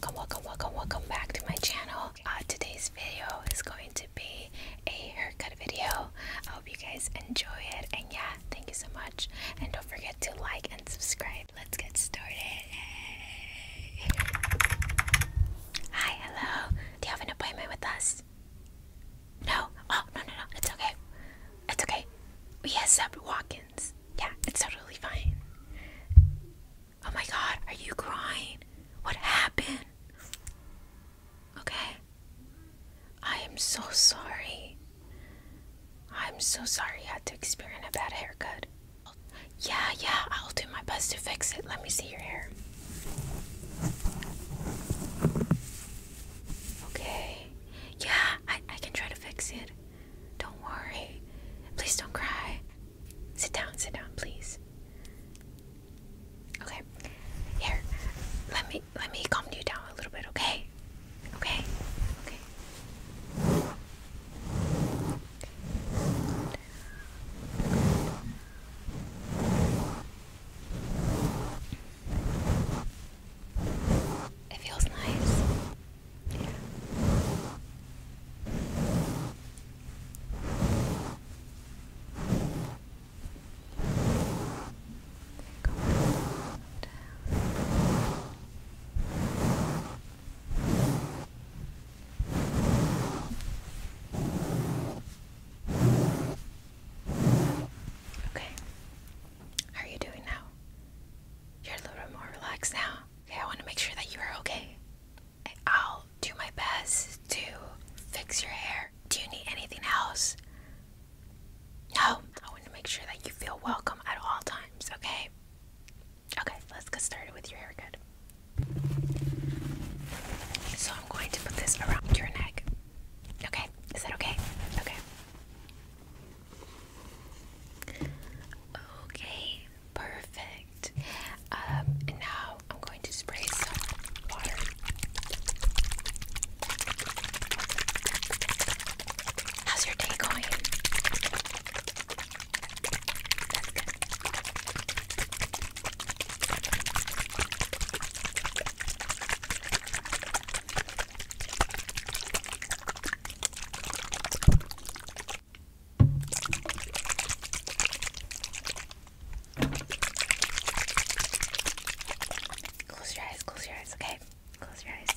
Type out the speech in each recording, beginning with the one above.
Welcome, welcome, welcome, welcome back to my channel. Uh, today's video is going to be a haircut video. I hope you guys enjoy it. And yeah, thank you so much. And don't forget to like and subscribe. Let's get started. Hi, hello. Do you have an appointment with us? No? Oh, no, no, no. It's okay. It's okay. We accept walk ins. Yeah, it's totally fine. Oh my god, are you crying? What happened? Okay. I am so sorry. I'm so sorry you had to experience a bad haircut. Yeah, yeah, I'll do my best to fix it. Let me see your hair. Okay. Yeah, I, I can try to fix it. Don't worry. Please don't cry. Sit down, sit down, please. Okay. Here. Let me let me calm you down a little bit, okay? Okay? Okay. It feels nice. Okay. are you doing now? You're a little bit more relaxed now. Okay, I want to make sure that you are okay. I'll do my best to fix your hair. Do you need anything else? No. I want to make sure that you feel welcome at all times, okay? Okay, let's get started with your haircut. So I'm going to put this around your neck. Okay, is that okay? Okay. Okay, perfect. Um, now I'm going to spray some water. How's your day going? Close your eyes, close your eyes, okay? Close your eyes.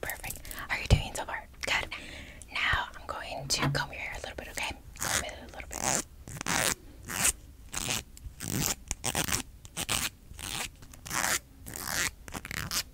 Perfect. are you doing so far? Good. Now I'm going to comb your hair a little bit, okay? a little bit.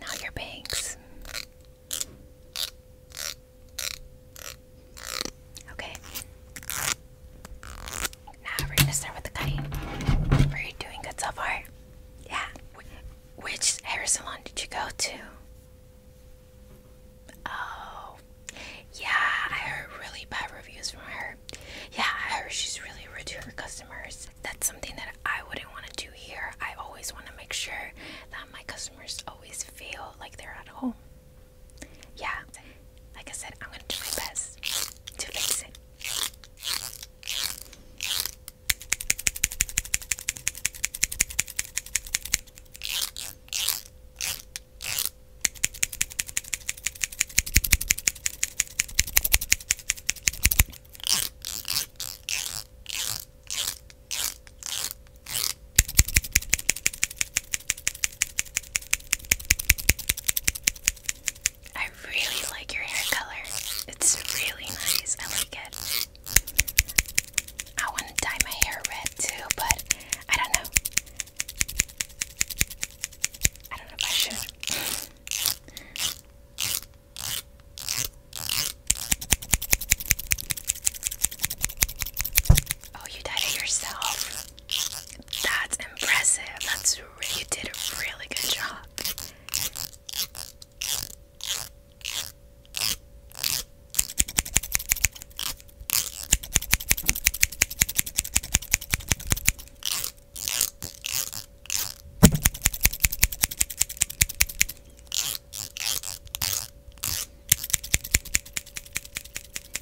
Now your bangs. Okay. Now we're gonna start with the cutting. Were you doing good so far? Yeah. which hair salon did you go to? Oh, yeah, I heard really bad reviews from her. Yeah, I heard she's really rude to her customers. That's something that I wouldn't want to do here. I always want to make sure that my customers always feel like they're at home yeah, like I said, I'm gonna do my best to fix it. I really like your hair color. It's really nice. I like it. I want to dye my hair red too, but I don't know. I don't know if I should. Oh, you dyed it yourself. That's impressive. That's you did a really good job.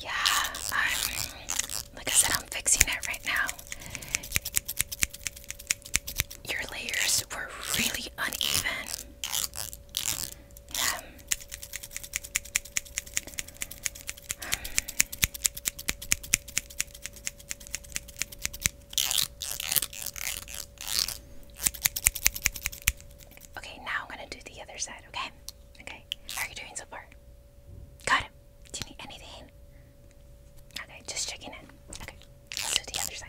Yeah, I'm like I said, I'm fixing it right now. Your layers were really uneven. Yeah. Um, Okay, now I'm gonna do the other side, okay? Okay. How are you doing so far? Got Do you need anything? Okay, just checking in. Okay, let's do the other side.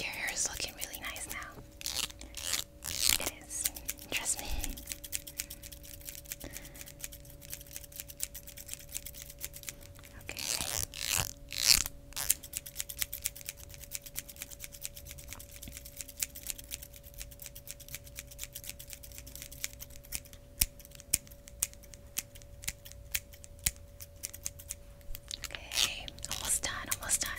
Your hair is looking really nice now. It is. Trust me. Okay. Okay, almost done, almost done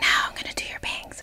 now I'm going to do your bangs.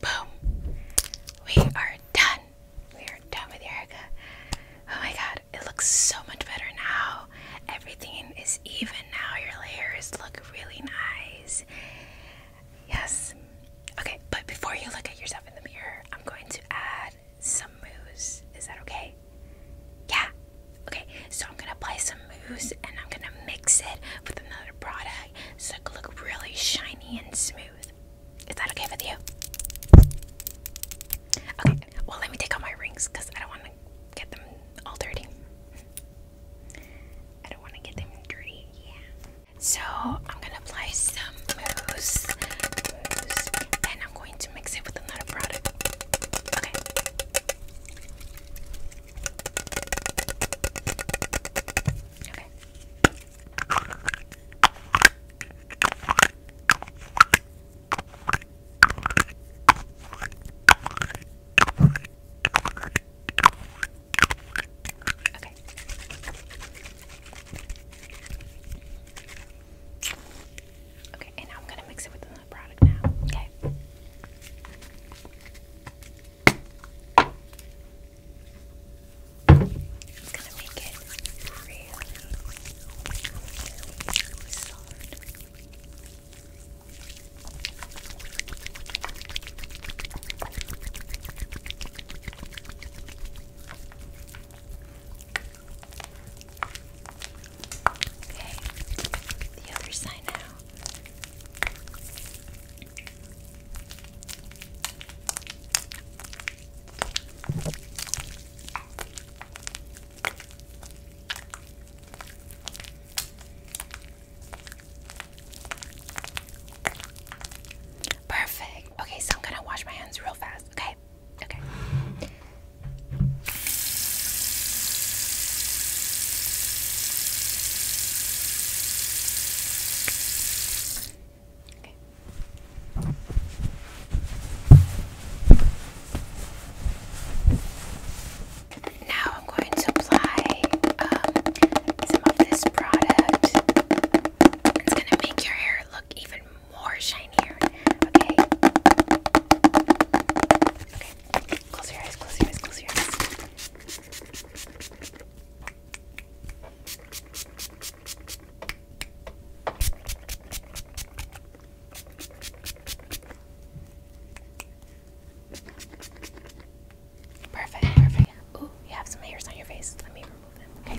Boom. We are done. We are done with Erica. Oh my god, it looks so much better now. Everything is even now. Your layers look really nice. Yes. Okay, but before you look at yourself in the mirror, I'm going to add some mousse. Is that okay? Yeah. Okay, so I'm gonna apply some mousse and I'm gonna mix it with another product so it can look really shiny and smooth. Is that okay with you? Okay, well, let me take out my rings because I don't want to get them all dirty. I don't want to get them dirty, yeah. So, I'm gonna apply some mousse, and I'm going to mix it with another product. Okay. Okay. Okay. Okay, and I'm gonna mix it with another product now. Okay. It's gonna make it really, really soft. Okay, the other side now. Perfect. Okay, so I'm gonna wash my hands real fast. Okay, okay. Now I'm going to apply um, some of this product. It's going to make your hair look even more shinier. Okay. Close your eyes, close your eyes, close your eyes. Perfect, perfect. Ooh, you have some hairs on your face. Let me remove them, okay?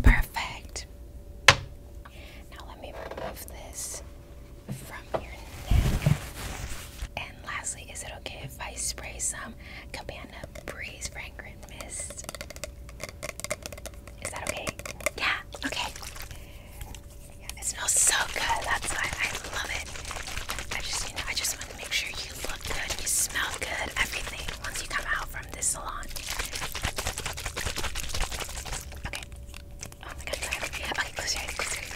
Perfect. Now let me remove this from your neck. And lastly, is it okay if I spray some Cabana Breeze fragrant mist? Is that okay? Yeah, okay. It smells so good. That's why I love it. I just, I just want to make sure you look good, you smell good, everything once you come out from this salon. Okay. Oh my god, okay, close your eyes, close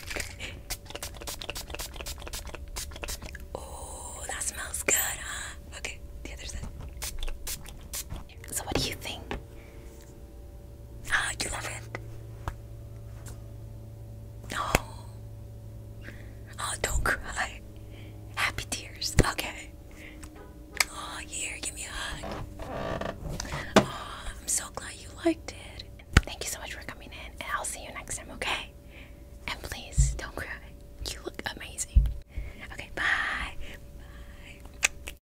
Oh, that smells good, huh? Okay, the other side. So what do you think? Ah, you love it. Oh. Oh, don't cry. Happy tears. Okay. Oh, here, give me a hug. Oh, I'm so glad you liked it. Thank you so much for coming in, and I'll see you next time, okay? And please don't cry. You look amazing. Okay, bye. Bye.